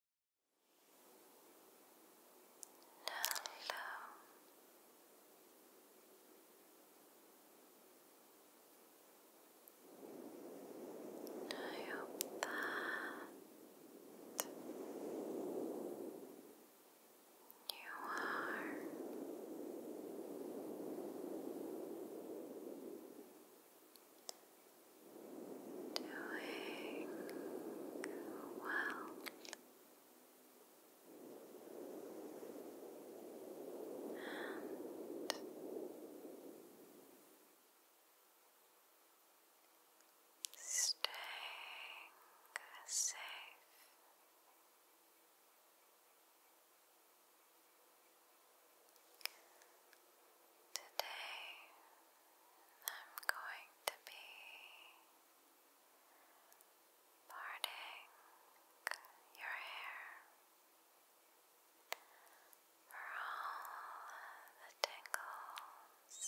Hello. I hope that you are doing well. staying safe. Today I'm going to be parting your hair for all the tingles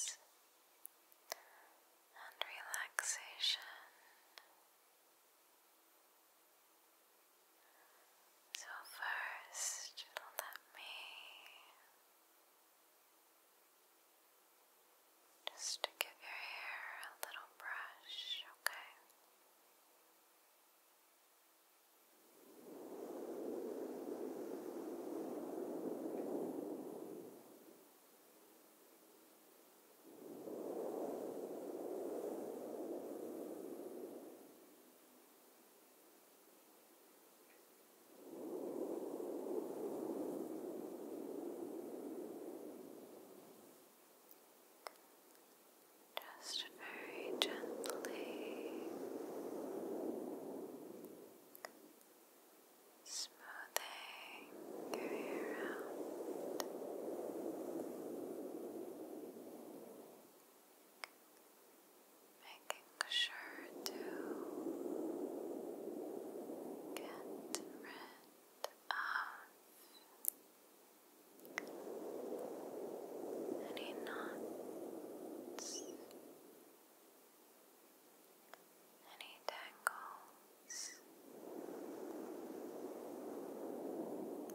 and relaxation. So, first, let me just to give your hair a little brush, okay? Just very gently smoothing your making sure to get rid of any knots, any tangles,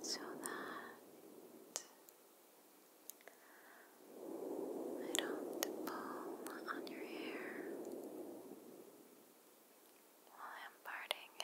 so that. I don't pull on your hair while I'm parting it.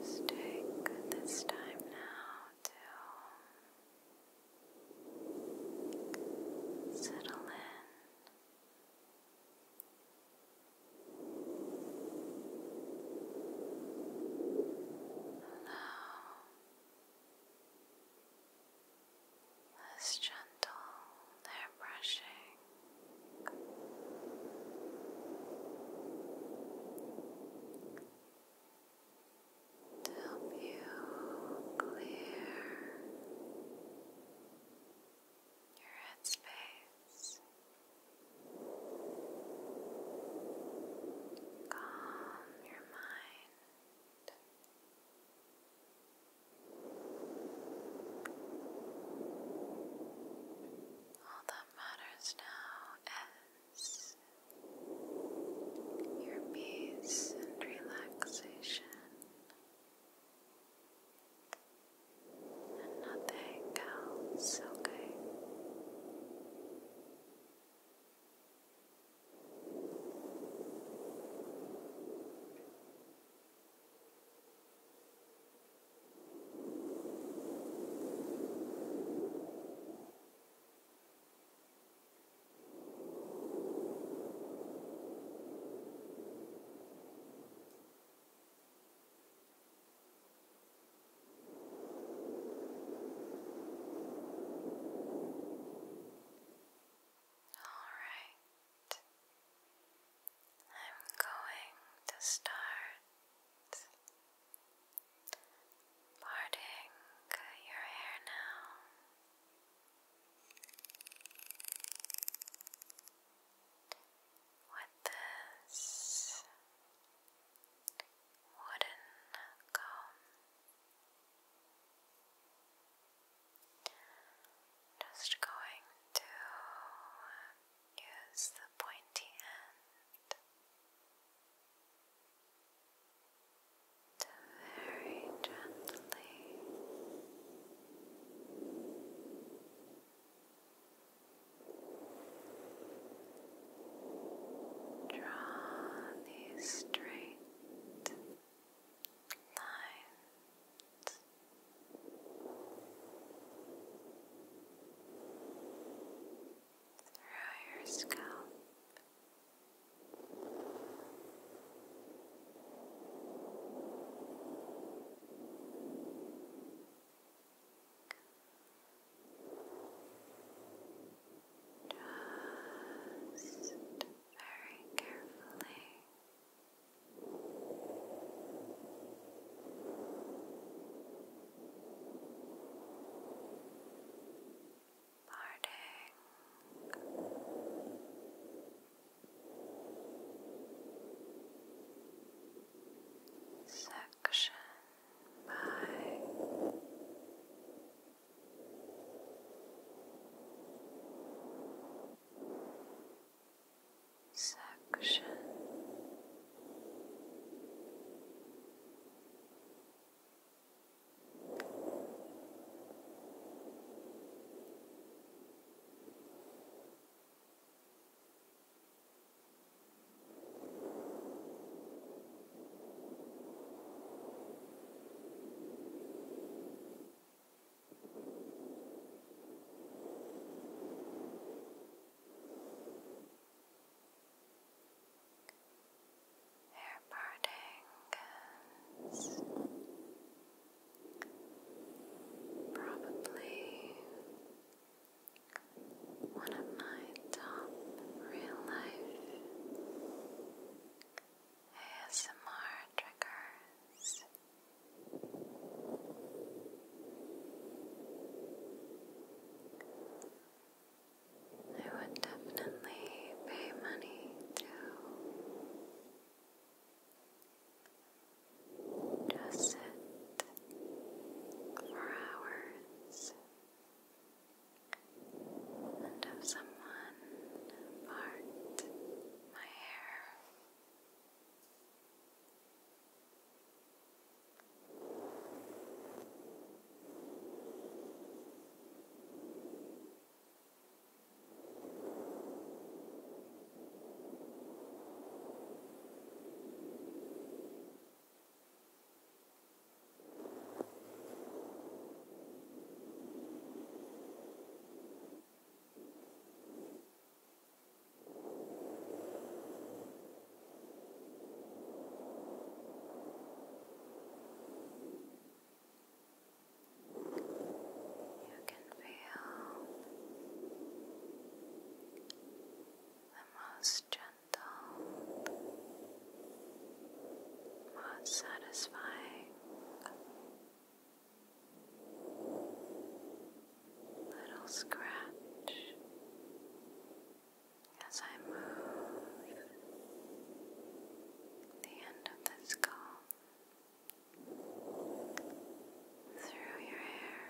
Just take this time now to settle in. Now, as gentle hair brushing help you clear your headspace. Calm your mind. All that matters now is your peace and relaxation and nothing else, okay? right, I'm going to start parting your hair now. With this wooden comb. Just going to use the pointy end to very gently Draw these straight lines. Through your scalp. Just very carefully. Parting. Section section. Section Hair partings, probably one of my top real life ASMR triggers. I would definitely pay money to just sit for hours and have someone part my hair. You can feel the most gentle, most satisfying little scratch as I move the end of this comb through your hair.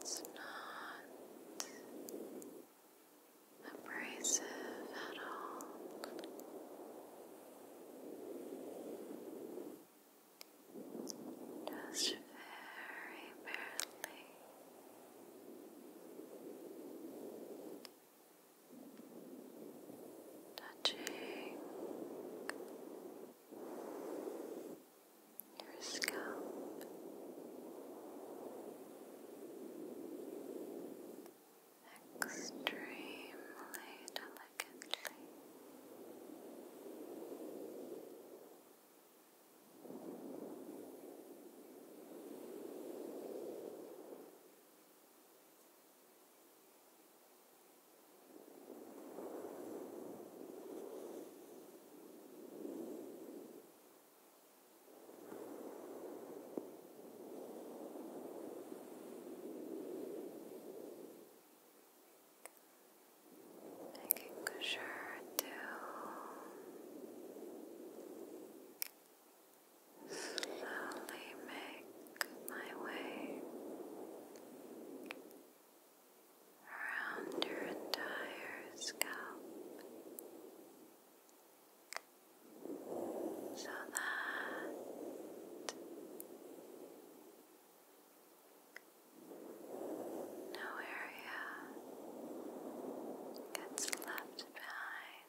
It's not abrasive at all. Just very barely touching your scalp extremely delicately. Making sure to slowly make my way around your entire scalp so that no area gets left behind.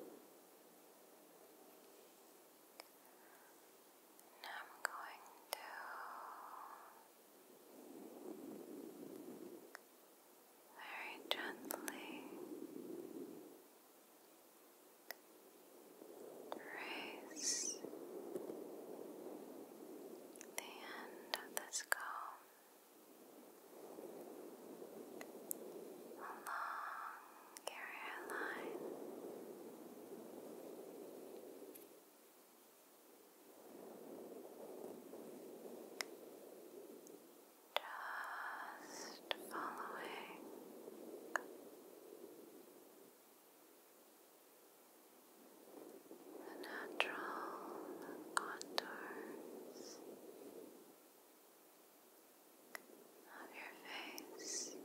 Now I'm going to very gently raise the end of this comb along your hairline. Just following the natural contours of your face,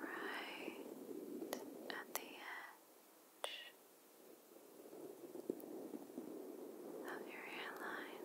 right at the edge of your hairline.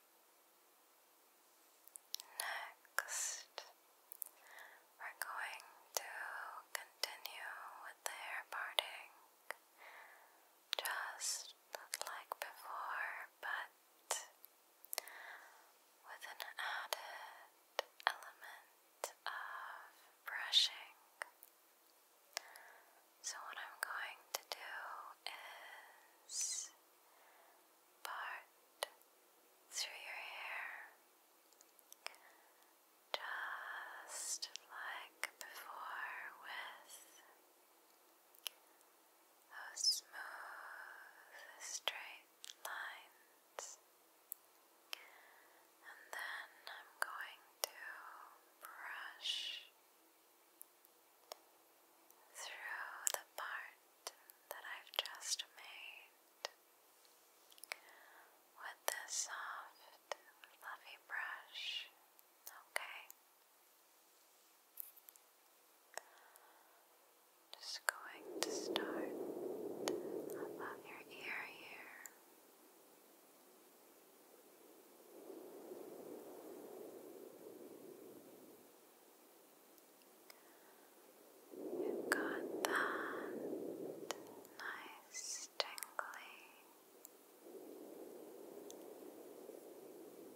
Next, we're going to continue with the hair parting just like before, but with an added element of brushing. So, what I'm going to do is part through your hair, just like before, with those smooth, straight lines. And then I'm going to brush through the part that I've just made with the soft, fluffy brush, okay? Just going to start above your ear here. You've got that nice tingly,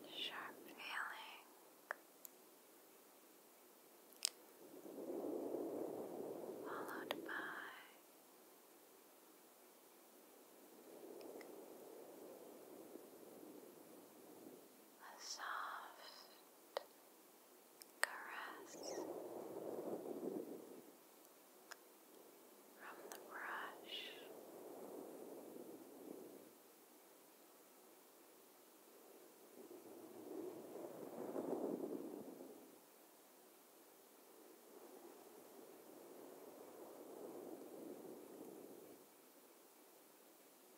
sharp feeling. Followed by a soft caress from the brush.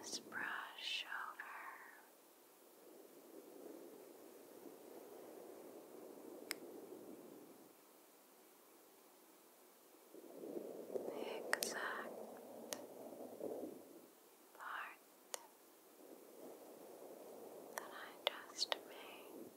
this brush over the exact part that I just made.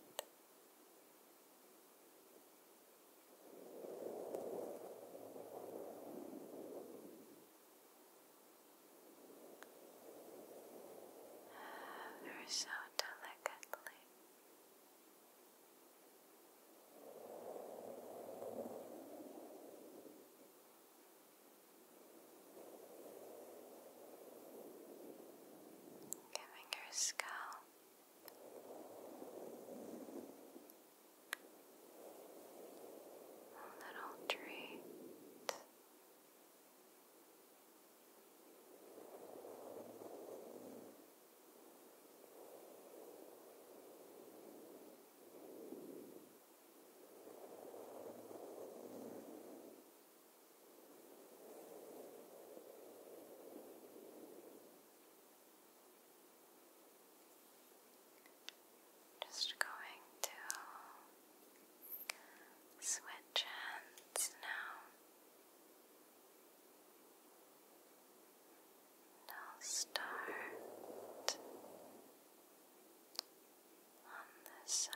Ever so delicately. Gently Giving your scalp a little treat. Gently just going to switch hands now. I'll start on the side. Now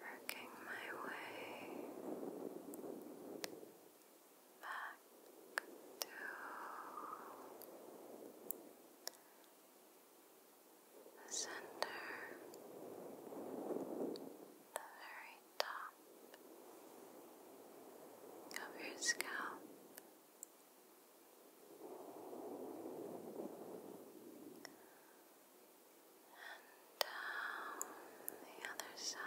Working my way back to the center, the very top of your scalp. And down the other side.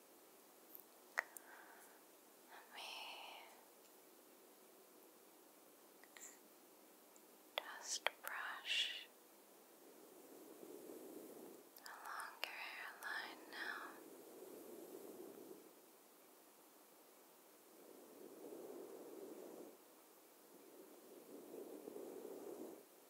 let me just brush along your hairline now.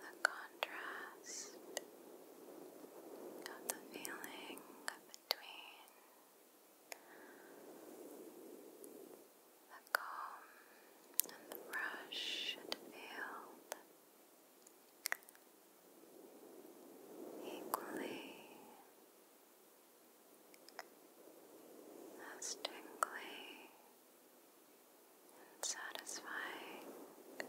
the contrast of the feeling between the comb and the brush had equally as and satisfying. Now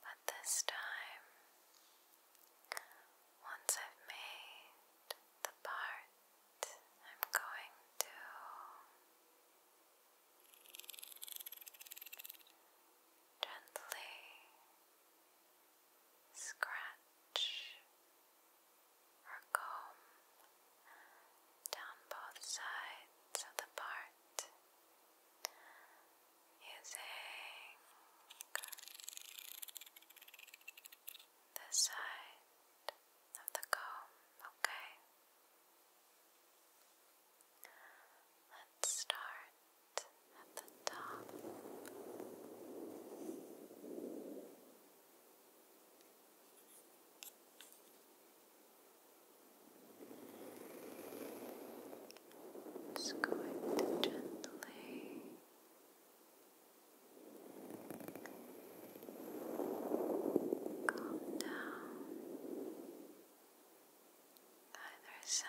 But this time, once I've made the part, I'm going to gently scratch or comb down both sides of the part using the side of the comb, okay? Let's start at the top. Just going to gently calm down either side.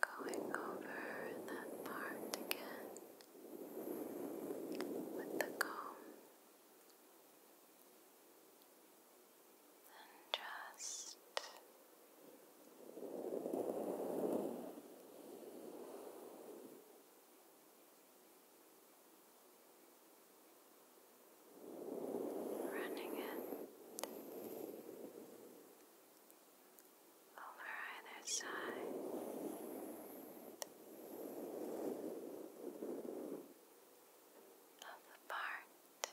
Going over that part again with the comb and just running it over either side. Of the part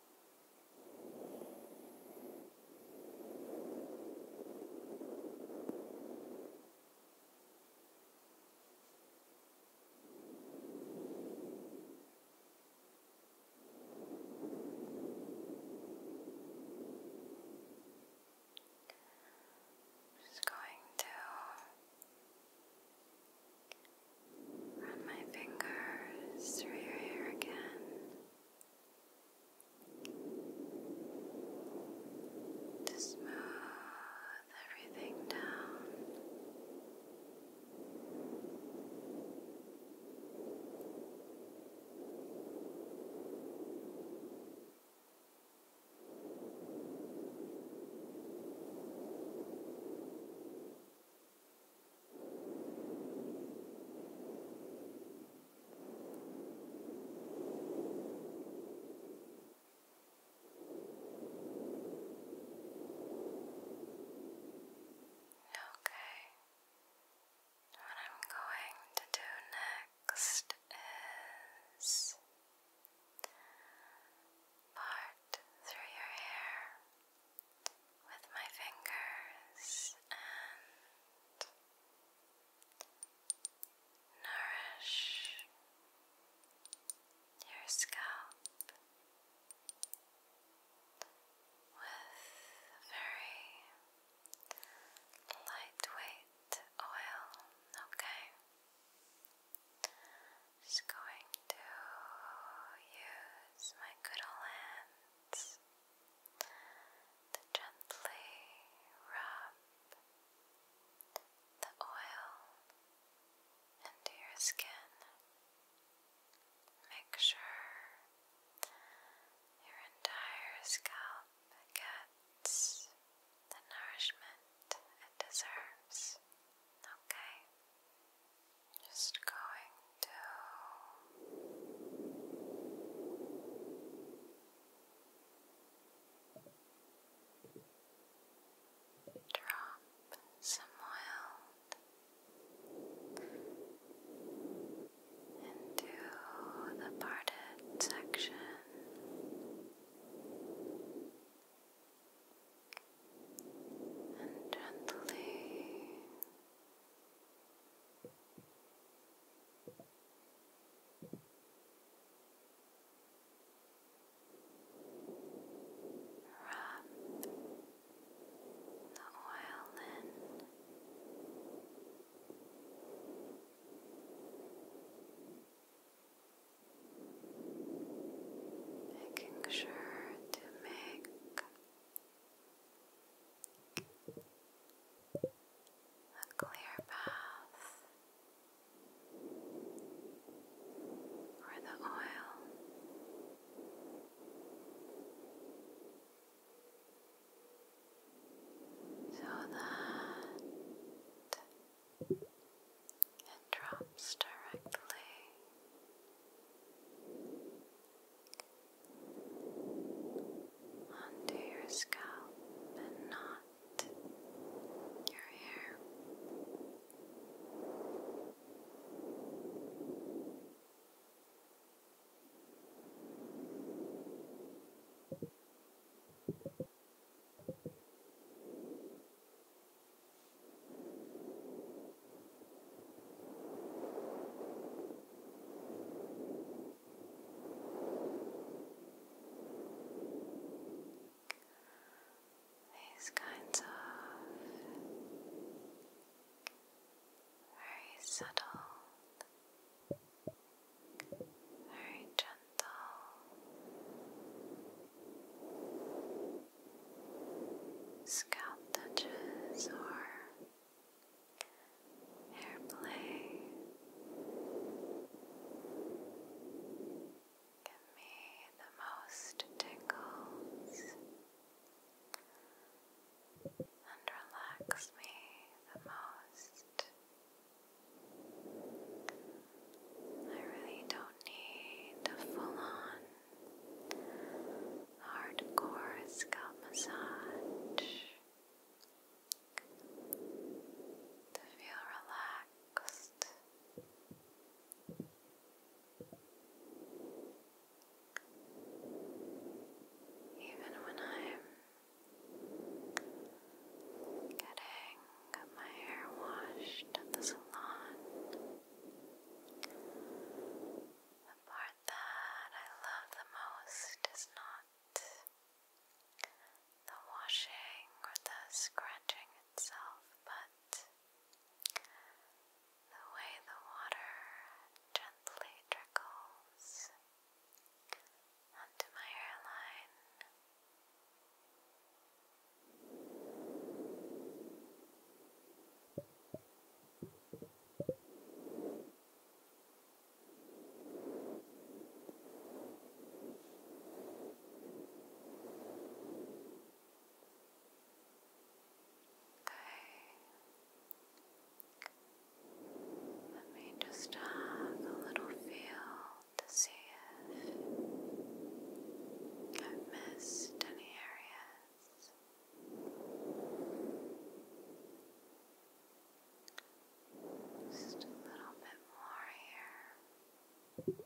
I'm just going to run my fingers through your hair again to smooth everything down. Okay. What I'm going to do next is part through your hair with my fingers and nourish your scalp with very lightweight oil, okay? Just going to use my good old hands to gently rub the oil into your skin. Make sure your entire scalp gets the nourishment it deserves. Okay? Just going to drop some oil into the parted section. And gently Rub the oil in. Making sure to make a clear path for the oil. So that it drops directly onto your scalp and not your hair. Now these kinds of very subtle, very gentle scalp touches or Airplay give me the most tingles and relax me the most. I really don't need a full on hardcore scalp massage to feel relaxed. Even when I'm getting my hair washed at the salon, the part that I love the most is not the washing or the scrunching itself, but the way the water gently trickles onto my hairline. Let me just have a little feel to see if I've missed any areas us. Just a little bit more here. And here.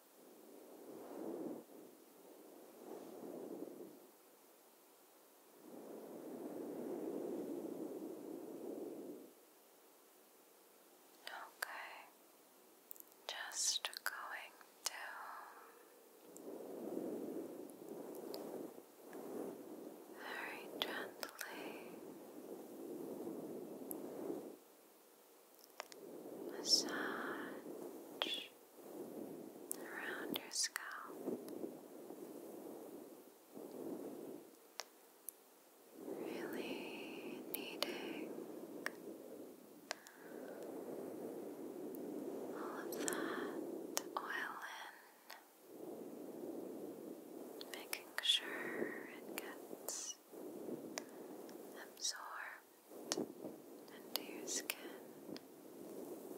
Okay, just going down very gently massage around your scalp, really needing all of that oil in, making sure it gets absorbed into your skin. Now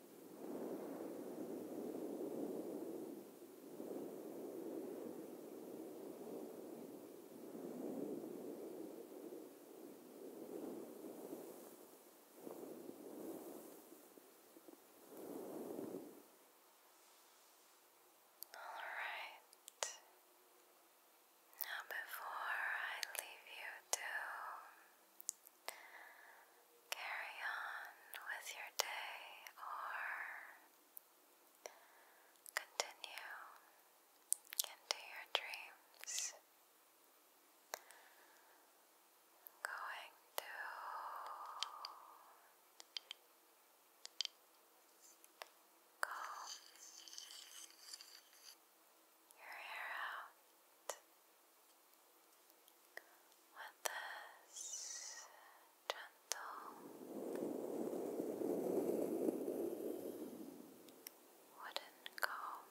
right. Now, before I leave you to Carry on with your day or continue into your dreams. Going to calm your hair out with this gentle wooden comb.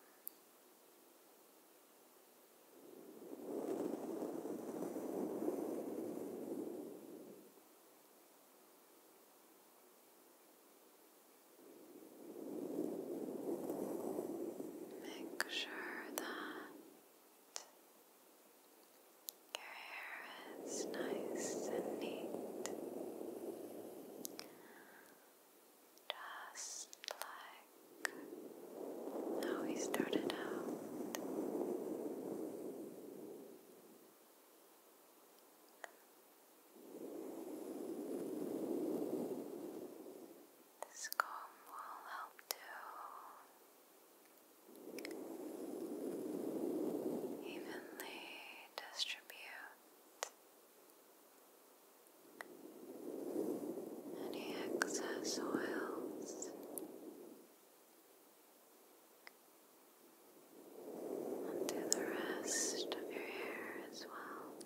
Make sure that your hair is nice and neat, just like how we started out. This comb will help to evenly distribute any excess oils onto the rest of your hair as well.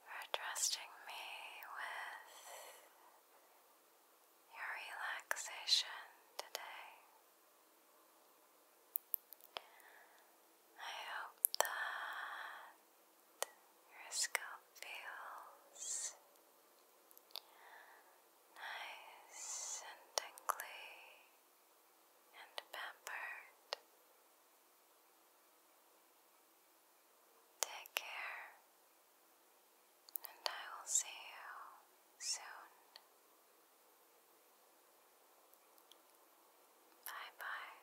for trusting me with your relaxation today. I hope that your scalp feels nice and tingly and pampered. Take care, and I will see you soon. Bye bye.